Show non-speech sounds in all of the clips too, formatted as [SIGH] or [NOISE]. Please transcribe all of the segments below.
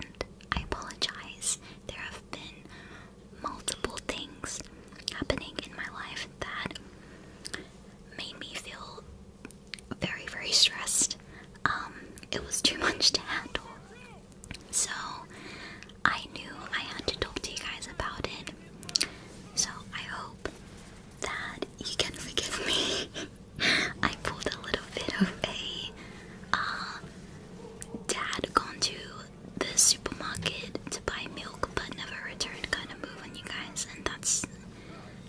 and I apologize. There have been multiple things happening in my life that made me feel very, very stressed. Um, it was too much to handle. So I knew I had to talk to you guys about it. So I hope that you can forgive me. [LAUGHS] I pulled a little bit of a uh, dad gone to the supermarket to buy milk but never returned kind of move on you guys, and that's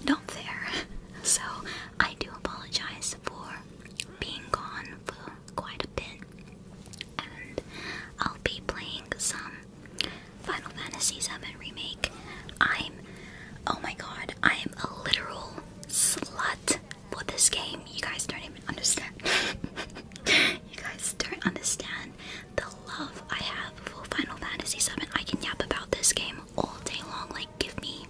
not fair. [LAUGHS] So I do apologize for being gone for quite a bit, and I'll be playing some Final Fantasy VII Remake. I'm, oh my god, I am a literal slut for this game, you guys don't even understand. [LAUGHS] you guys don't understand the love I have for Final Fantasy Seven. I can yap about this game all day long. Like, give me,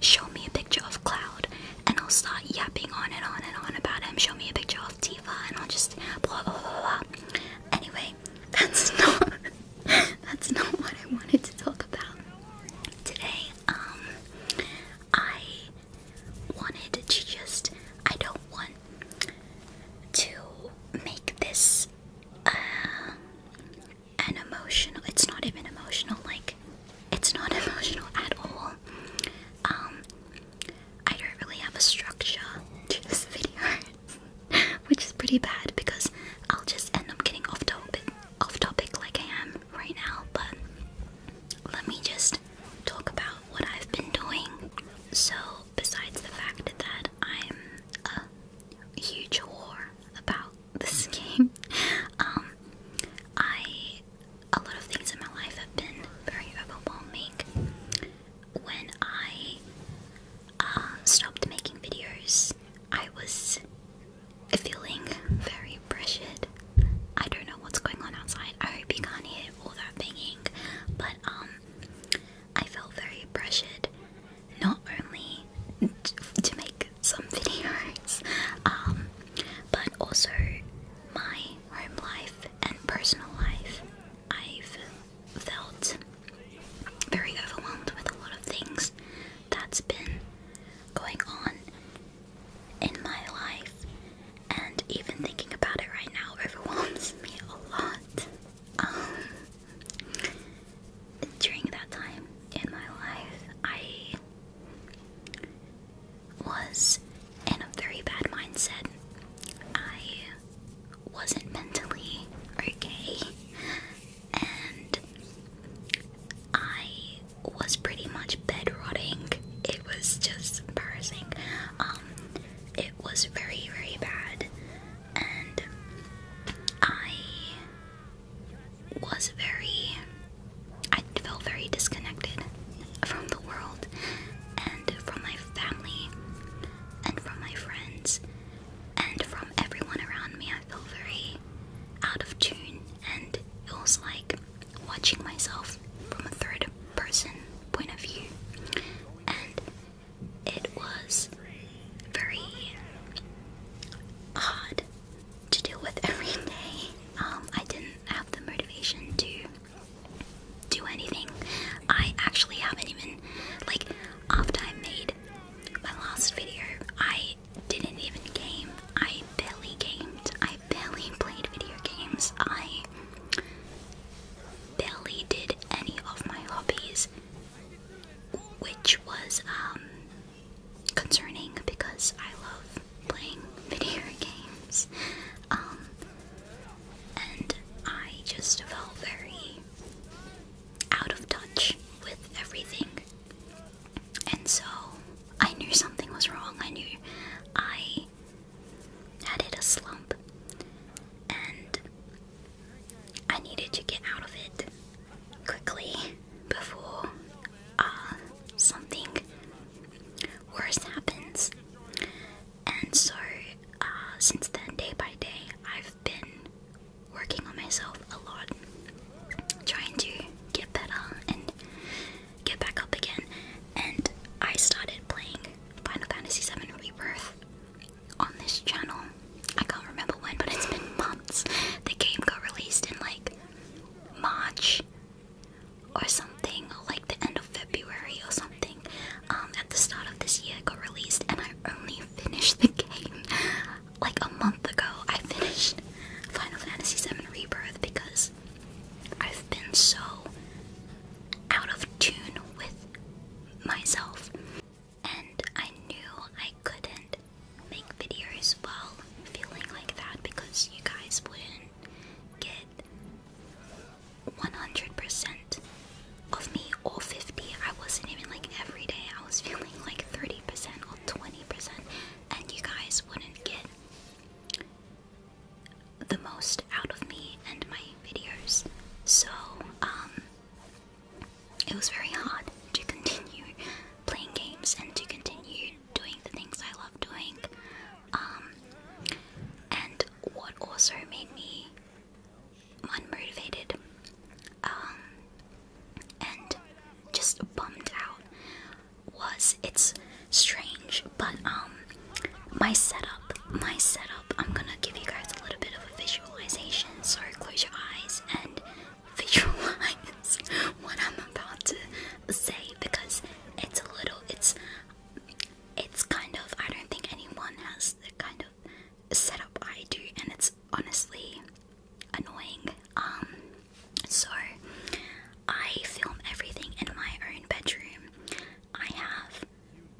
show me a picture of Cloud, and I'll start yapping on and on and on about him. Show me a picture of Tifa, and I'll just blah blah blah blah. Anyway, that's [LAUGHS] not that's not what I wanted to talk about today. Um, I wanted to just, I don't want to make this uh, an emotional, it's not even emotional, like, it's not [LAUGHS] emotional at all. Um, I don't really have a structure to this [LAUGHS] video, which is pretty bad because I'll just end up getting off topic, off topic like I am right now, but let me just talk about what I've been doing. So, besides the fact that I'm a huge whore about this [LAUGHS] game, um, I a lot of things in my life have been very overwhelming. When I um, stopped making videos, I was feeling very pressured. I don't know what's going on outside. I hope you can't hear all that banging, but um, I felt very pressured not only to make some [LAUGHS] videos, um, but also my home life and personal life. I've felt very overwhelmed with a lot of things that's been going on in my life, and even thinking about it right now [LAUGHS] overwhelms me a lot. Um, during that time in my life, I was in a very bad mindset. I wasn't mentally okay, and I was pretty much bed rotting. It was just embarrassing. Um, it was very, very bad, and I was very. I felt very disconnected from the world and from my family and from my friends and from everyone around me. I felt very out of tune, and it was like watching myself from a third person point of view, and it was very hard to deal with [LAUGHS] every day. Um, I didn't have the motivation to do anything. I actually haven't even, like, after I made my last video, I didn't even game. I barely gamed. I barely played video games. I barely did any of my hobbies, which was um, concerning because I love playing [LAUGHS] video games. Um, and I just felt very out of touch with everything and so I knew something was wrong. I knew I had hit a slump and I needed to get out of it quickly before uh, something worse happens. And so, uh, since then, day by day, I've been working on myself a lot, trying to get better and get back up again. And I started playing Final Fantasy VII Rebirth on this channel. I can't remember when, but it's been months. The game got released in like March or something, like the end of February or something. Um, at the start of this year, it got released, and I only [LAUGHS] finished the game like a month ago, I finished Final Fantasy VII Rebirth because I've been so out of tune with myself, and I knew I couldn't make videos while feeling like that because you guys wouldn't get 100% of me or 50. I wasn't even like every day, I was feeling like 30% 20%, and you guys wouldn't get the most out of me and my videos. So, um, it was very hard to continue playing games and to continue doing the things I love doing. Um, and what also made me unmotivated um, and just bummed out was it's strange, but um my setup, my setup, I'm gonna give you guys a little bit of a visualization, Sorry, close your eyes and [LAUGHS] visualize what I'm about to say because it's a little it's it's kind of I don't think anyone has the kind of setup I do, and it's honestly annoying. Um, so I film everything in my own bedroom. I have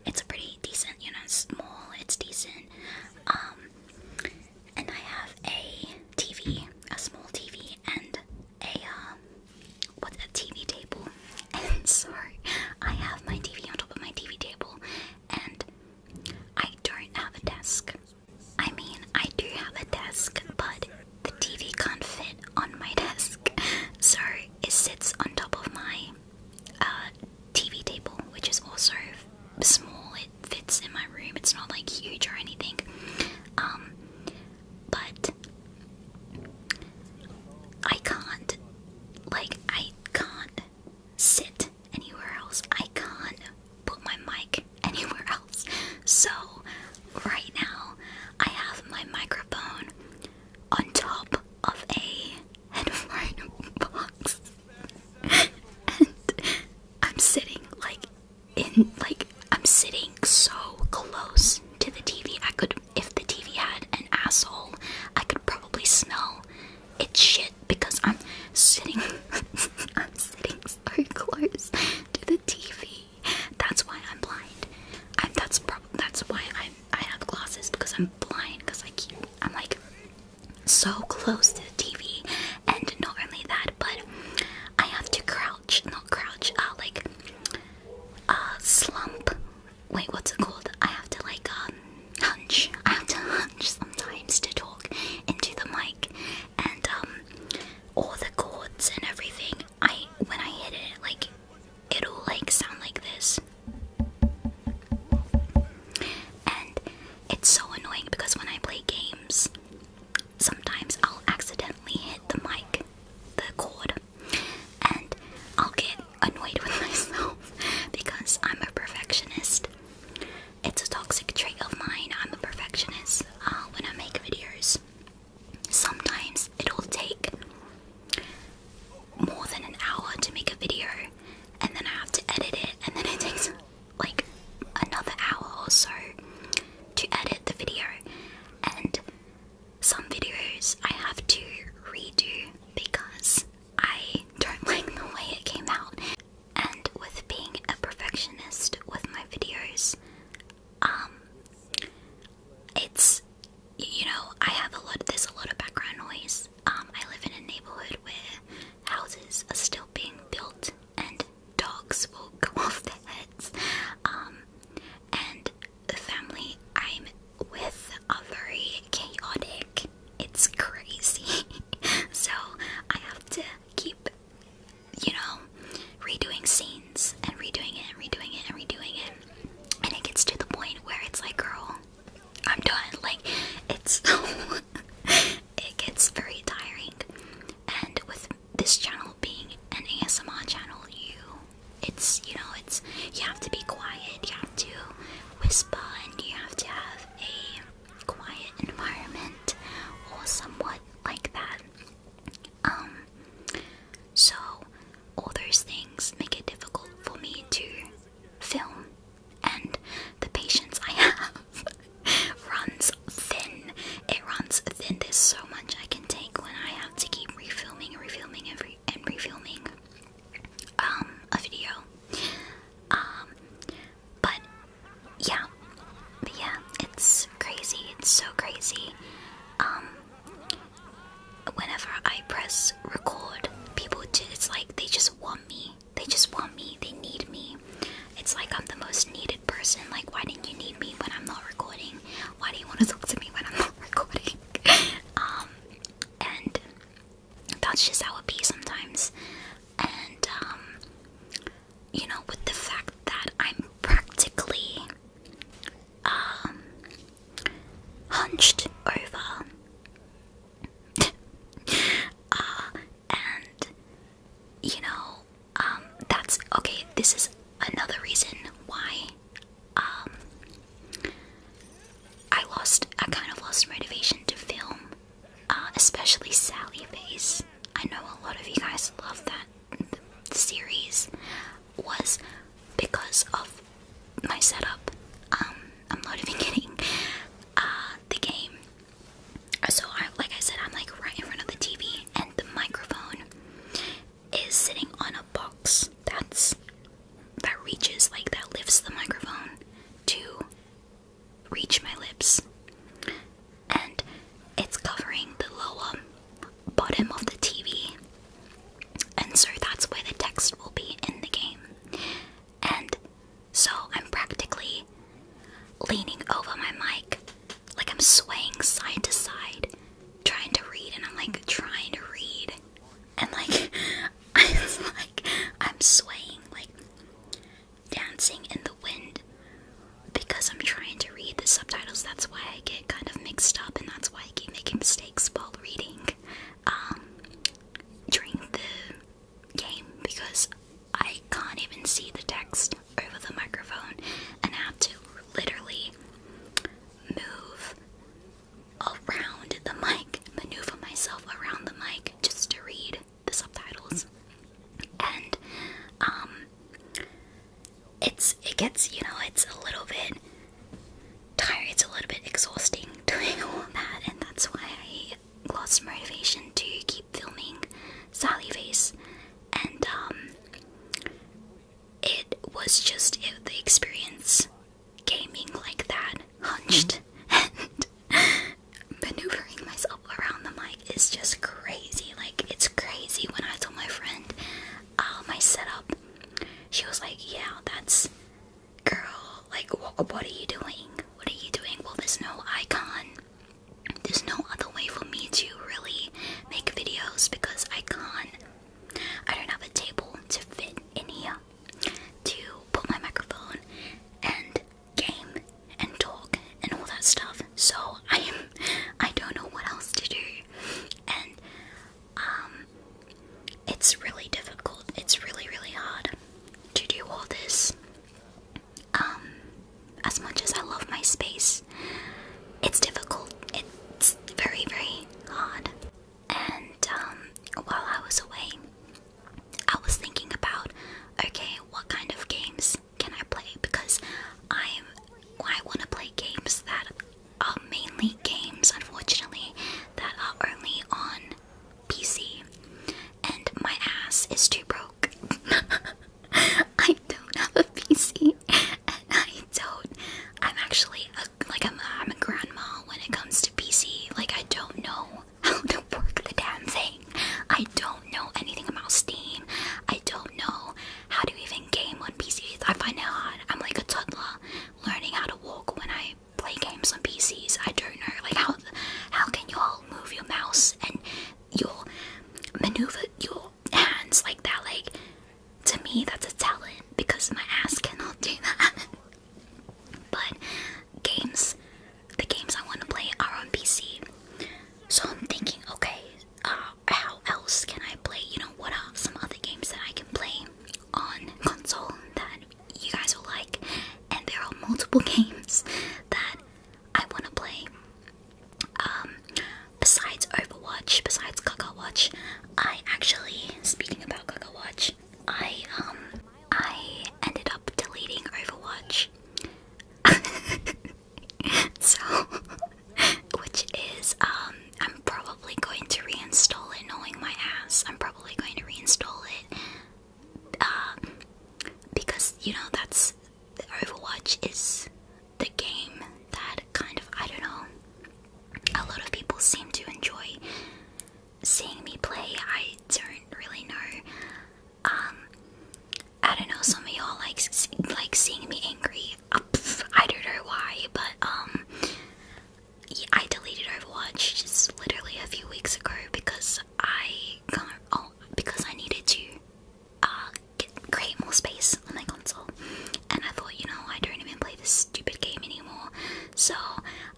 it's a pretty decent, you know, small, it's decent. Um, and I have a TV, a small TV, and a uh, um, what's a TV table. [LAUGHS] And so I have my TV on top of my TV table, and I don't have a desk. I mean, I do have a desk, but the TV can't fit on my desk, [LAUGHS] so it sits on top of my uh, TV table, which is also small. It fits in my room, it's not like huge or anything. Um, but I can't, like, I can't sit anywhere else. I can't put my mic [LAUGHS] anywhere else. So, right now, I have my microphone on top of a headphone [LAUGHS] box. and I'm sitting like in like I'm sitting so close to the TV. I could if the TV had an asshole, I could probably smell it's shit because I'm sitting [LAUGHS] I'm sitting so close to the TV. That's why I'm blind. i that's that's why i I have glasses because I'm blind because I keep I'm like so close to the TV and not only that but I have to crouch not crouch uh like uh slump wait what's it called I have to like um hunch. I have to hunch sometimes to talk into the mic, and um, all the chords and everything. I when I hit it, like it'll like sound like this, and it's so annoying because when I play games, sometimes I'll accidentally hit the mic, the chord, and I'll get annoyed [LAUGHS] with myself because I'm a perfectionist. It's a toxic trait of mine. I'm a perfectionist uh, when I make videos. Sometimes it'll take more than an hour to make a video, and then I have to edit it, and then it [LAUGHS] takes like another hour or so to edit the video. And some videos I have to redo because I don't [LAUGHS] like the way it came out and with being a perfectionist with my videos, um, it's you know I have a lot. There's a lot of background noise. Um, I live in a neighborhood where houses are still being built, and dogs will go [LAUGHS] off the heads. Um, and the family I'm with are very chaotic, it's crazy. [LAUGHS] so I have to keep, you know, redoing scenes and redoing it and redoing it and redoing it. And it gets to the point where it's like, girl, I'm done. Like, it's. [LAUGHS] it gets very tiring. And with this channel being an ASMR channel, you. It's, you know, it's. You have to be quiet, you have to whisper, and you have to have a quiet environment or somewhat like that. Um, so all those things make it difficult for me to film, and the patience I [LAUGHS] have runs thin. It runs thin. There's so much I can take when I have to keep refilming and refilming every and refilming um, a video. Um, but yeah, yeah, it's crazy. It's so crazy. Um, whenever I press record, people do. It's like they just want me. They just want me. They need me. It's like I'm the most needed person. Like, why didn't you need me when I'm not recording? Why do you want to talk to me when I'm not [LAUGHS] recording? [LAUGHS] um, and that's just how it be sometimes. And, um, you know, with the fact that I'm practically, um, hunched over. [LAUGHS] Uh, and, you know, um, that's okay. This is another reason why, I lost, I kind of lost motivation to film, uh, especially Sally Face. I know a lot of you guys love that series. Was because of my setup. Um, I'm not even [LAUGHS] kidding. Uh, the game. So, I, like I said, I'm like right in front of the TV, and the microphone is sitting on a box that's that reaches like that lifts the microphone to reach my lips and it's covering the lower bottom of the TV and so that's where the text will be in the game and so I'm practically leaning over my mic like I'm swaying side to side trying to read and I'm like trying to read and like [LAUGHS] it's like I'm swaying, like dancing in the wind because I'm trying to read the subtitles. That's why I get kind of mixed up, and that's why I keep making mistakes while reading um, during the game because I can't even see the text over the microphone, and I have to literally move around the mic, maneuver myself around the mic just to read the subtitles. And um it's it gets, you know, it's a little bit tired, it's a little bit exhausting [LAUGHS] doing all that, and that's why I lost motivation to keep filming Sally Face. And um it was just the experience gaming like that, hunched mm-hmm. [LAUGHS] and maneuvering myself around the mic is just crazy. Like it's crazy when I told my friend "Oh my setup, she was like, "Yeah, that's girl. Like, what are you doing? What are you doing? Well, there's no icon. There's no other way for me to really make videos because I can't. I don't have a table to fit in here." to put my microphone and game and talk and all that stuff. So I am [LAUGHS] I don't know what else to do. And um it's really difficult. It's really really hard to do all this. Um as much as I love my space, it's difficult. It's very very hard. And um, while I was away, I was thinking about okay, what kind of games can I play? Because I'm I want to play games that are mainly games, unfortunately, that are only on PC. And my ass is too broke. [LAUGHS] I don't have a PC, and I don't. I'm actually a like I'm, a grandma when it comes to PC. Like I don't know [LAUGHS] how to work the damn thing. I don't know anything about Steam. I don't know how to even game on PCs. I find it hard. I'm like a toddler learning how to walk when I play games on PCs. I don't know like how how can you all move your mouse and your maneuver your hands like that like to me that's a talent because my ass cannot do that [LAUGHS] But games, the games I want to play are on PC. So I'm thinking, okay, uh, how else can I play? You know, what are some other games that I can play on console that you guys will like? And there are multiple [LAUGHS] games that I want to play. Um, besides Overwatch, besides Gaga Watch, I actually, speaking about Gaga Watch, I um I ended up deleting Overwatch. [LAUGHS] so which is um I'm probably going to reinstall it knowing my ass. I'm probably going to reinstall it. Um because you know that's Overwatch is the game that kind of I don't know a lot of people seem to enjoy seeing me play. I don't really know. Um, I don't know. Some of y'all like like seeing me angry. Uh, I don't know why, but um, I deleted Overwatch just literally a few weeks ago because I can't. Oh, because I needed to uh, create more space on my console, and I thought, you know, I don't even play this stupid game anymore. So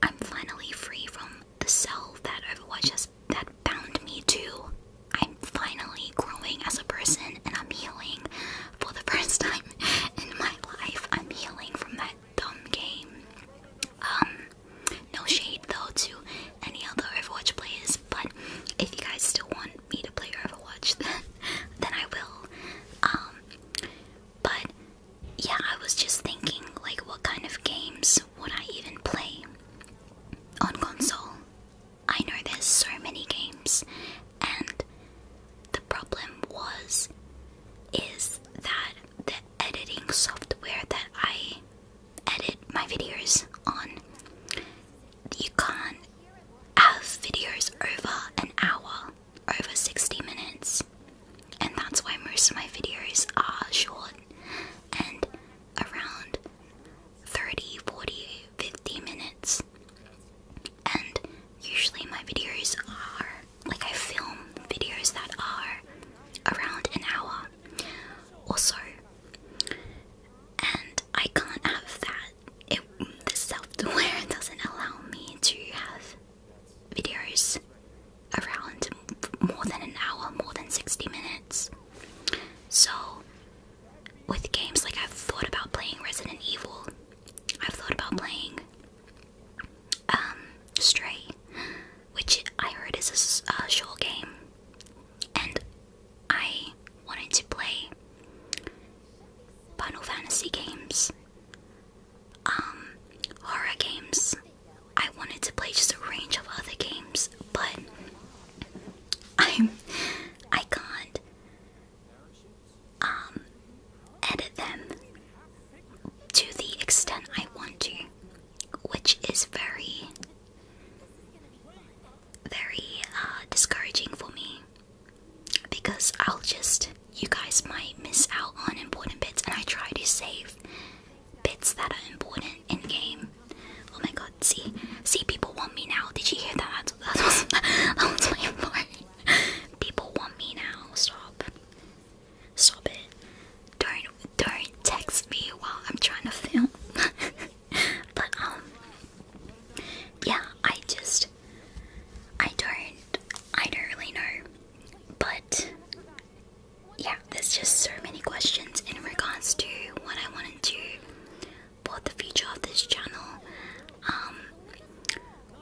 I'm finally free from the cell that Overwatch has that bound me to. I'm finally growing as a person and I'm healing for the [LAUGHS] first time in my life. I'm healing from that dumb game. Um, no shade though to any other Overwatch players, but if you guys still want me to play Overwatch [LAUGHS] then then I will. Um, but yeah, I was just thinking, like, what kind of games would I even play on console? I know there's so many games, and the problem was, is that the editing software that I edit my videos on, you can't have videos over an hour over 60 minutes, and that's why most of my videos are short and around 30, 40, 50 minutes. And usually, my videos are like I film videos that are around an hour or so, and I can't have that that it, the software doesn't allow me to have videos around more than an hour, more than 60 minutes. So, with games, like I've thought about playing Resident Evil, I've thought about playing um, Stray, which I heard is a short game, and I wanted to play Final Fantasy games, um, horror games. I wanted to play just a range of other games, but I'm I can't um, edit them to the extent I want to, which is very very uh, discouraging for me because I'll just, you guys might miss out on important bits, and I try to save bits that are important in game. Oh my god, see, see, people want me now. Did you hear that? That was, [LAUGHS] my part. People want me now. Stop. Stop it. Don't, don't text me while I'm trying to film. [LAUGHS] but um, yeah, I just I don't I don't really know. But yeah, there's just so many questions in regards to what I wanted to for the future of this channel. Um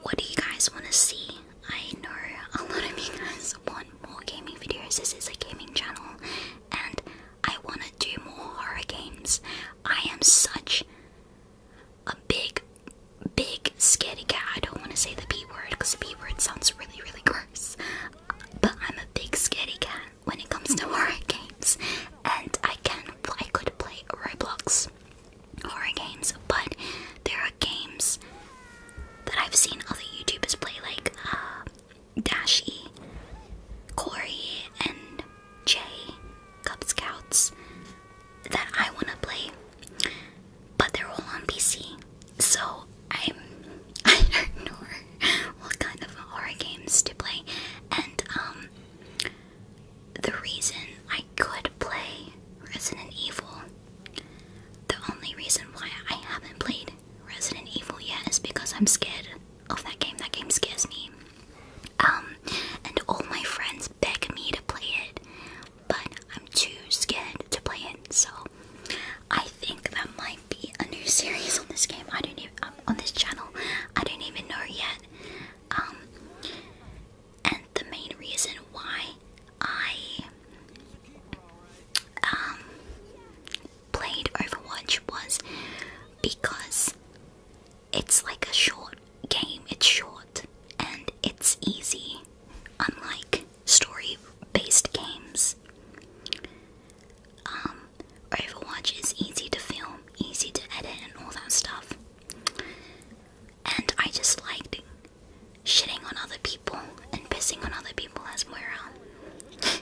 what do you guys want to see? I know a lot of you guys want more gaming videos. This is a gaming channel and I want to do more horror games. I am such a big, big scaredy cat. I don't want to say the B word because the B word sounds really, really gross. But I'm a big scaredy cat when it comes to [LAUGHS] horror games, and I can, I could play Roblox horror games, but there are games that I've seen other YouTubers play, like uh, Dashy, Corey, and Jay, Cub Scouts that I want to play, but they're all on PC. So I'm [LAUGHS] I don't know what kind of horror games to play, and um, the reason I could play Resident Evil, the only reason why I haven't played Resident Evil yet is because I'm scared of that game. That game scares me. Um, and all my friends beg me to play it, but I'm too scared to play it. So I think that might be a new series on this game. I don't even um, on this channel. I don't even know yet. Um, and the main reason why I played Overwatch was because it's like a short game. It's short and it's easy, unlike story based games. Um, Overwatch is easy to film, easy to edit, and all that stuff. And I just liked shitting on other people and pissing on other people as Moira. [LAUGHS]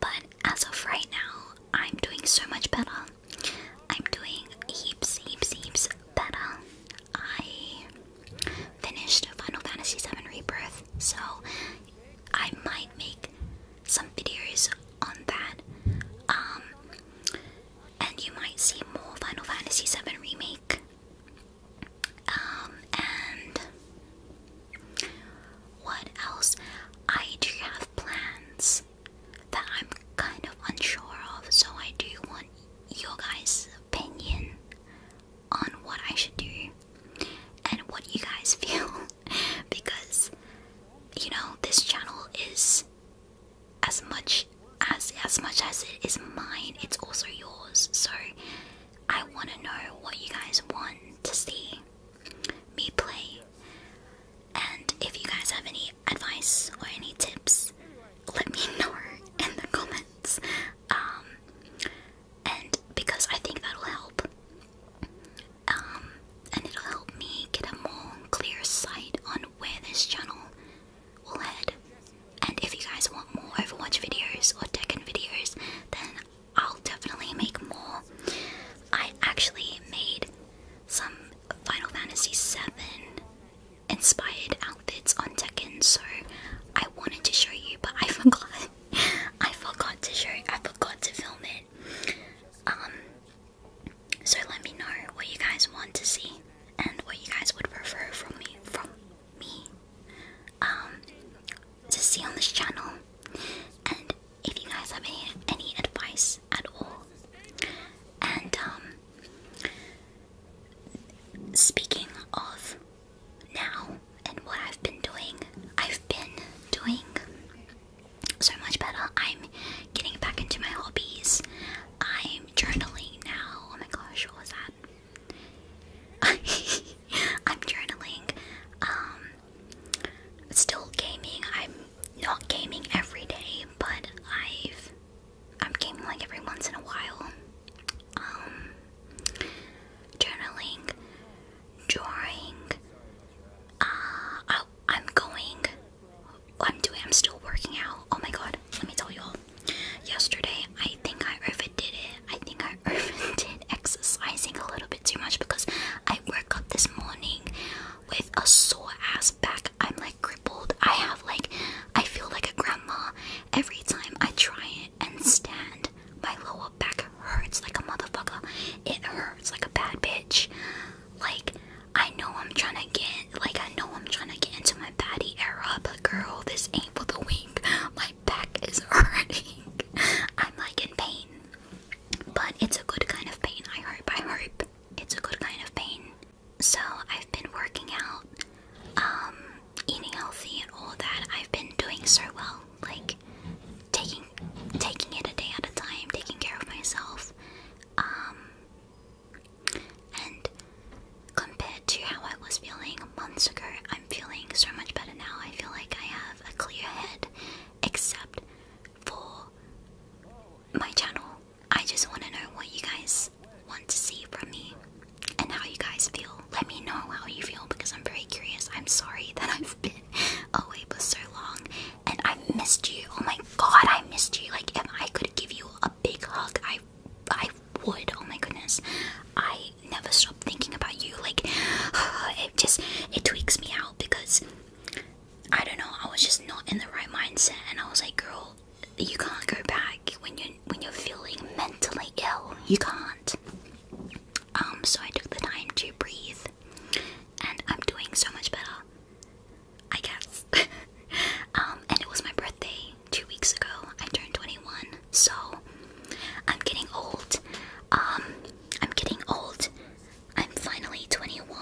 But as of right now, I'm doing so much better. I'm doing heaps, heaps, heaps better. I finished Final Fantasy VII Rebirth, so I might make some videos on that. Um, and you might see more Final Fantasy VII Remake. Um, and what else I do have plans that I'm kind of unsure of, so I do want your guys' opinion on what I should do and what you guys [LAUGHS] feel because you know this channel is as much as as much as it is mine, it's also yours. So I want to know what you guys want to see me play. And if you guys have any advice or any tips, let me [LAUGHS] know in the comments. Um, and because I think that'll help. Um, and it'll help me get a more clear sight on where this channel will head. And if you guys want more Overwatch videos or Tekken videos, then I'll definitely make more. I actually made some Final Fantasy VII inspired outfits on Tekken, so I wanted to show you, but I [LAUGHS] forgot. I forgot to show. I forgot to film it. Um. So let me know what you guys want to see and what you guys would prefer from me. From me. Um to see on this channel. And if you guys have any, advice at all. And um, speaking of now and what I've been doing, I've been doing so much better. I'm getting back into my hobbies. I'm journaling now. Oh my gosh, what was that? [LAUGHS] I'm journaling. Um, still gaming. I'm not gaming every day, but I've I'm gaming like every once in a while. Um, journaling, drawing. Uh, oh, I, am going. I'm doing. I'm still working out. Oh my god! Let me tell you all. Yesterday, I think I overdid it. I think I [LAUGHS] overdid exercising a little bit too much because I woke up this morning with a sore ass back. I'm like crippled. I have like, I feel like a grandma every time I try it and stand. My lower back hurts like a motherfucker. It hurts like a bad bitch. Like, I know I'm trying to get, like, I know I'm trying to get into my baddie era, but girl, this ain't for the weak. My back is [LAUGHS] hurting. I'm like in pain. But it's a good kind of pain, I hope. I hope it's a good kind of pain. So I've been working out, um, eating healthy and all that. I've been doing so well, like taking taking it a day at a time, taking care of myself. Um, and compared to how I was feeling months ago, I'm feeling so much better now. I feel like I have a clear head except for my channel. I just want to know what you guys want to see from me and how you guys feel. Let me know how you feel because I'm very curious. I'm sorry [LAUGHS] that I've been away for so long and I missed you. Oh my god, I missed you. Like if I could give you a big hug, I I would. Oh my goodness. I never stop thinking about you. Like, [SIGHS] it just it tweaks me out because I don't know. I was just not in the right mindset, and I was like, girl, you can't go back when you are when you're feeling mentally ill. You can't. Um. So I took the time to breathe, and I'm doing so much better. I guess. [LAUGHS] um, and it was my birthday two weeks ago. I turned 21, so I'm getting old. Um, I'm getting old. I'm finally 21.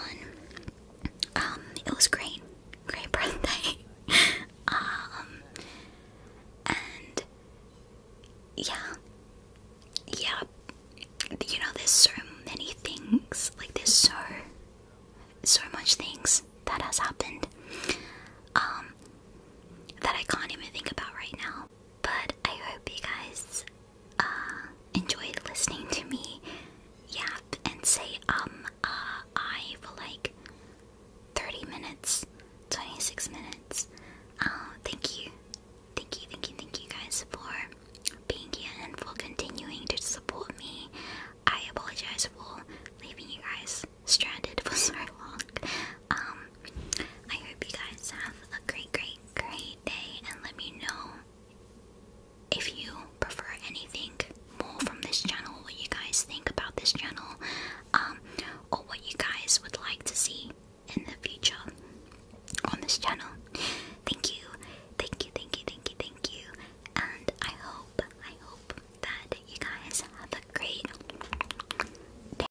Um, it was great. Great [LAUGHS] birthday. um, and yeah. Yeah. You know, there's so many things. Like, there's so, so much things that has happened. Um, that I can't even think about right now. But I hope you guys uh, enjoy listening to me yap and say um uh I for like 30 minutes, 26 minutes. Uh, thank you. Thank you, thank you, thank you guys for being here and for continuing to support me. I apologize for leaving you guys stranded [LAUGHS] for so long. Um, I hope you guys have a great, great, great day, and let me know if you prefer anything more from this channel, what you guys think about this channel, um, or what you guys would like to see in the future on this channel. Thank you, thank you, thank you, thank you, thank you, and I hope, I hope that you guys have a great day.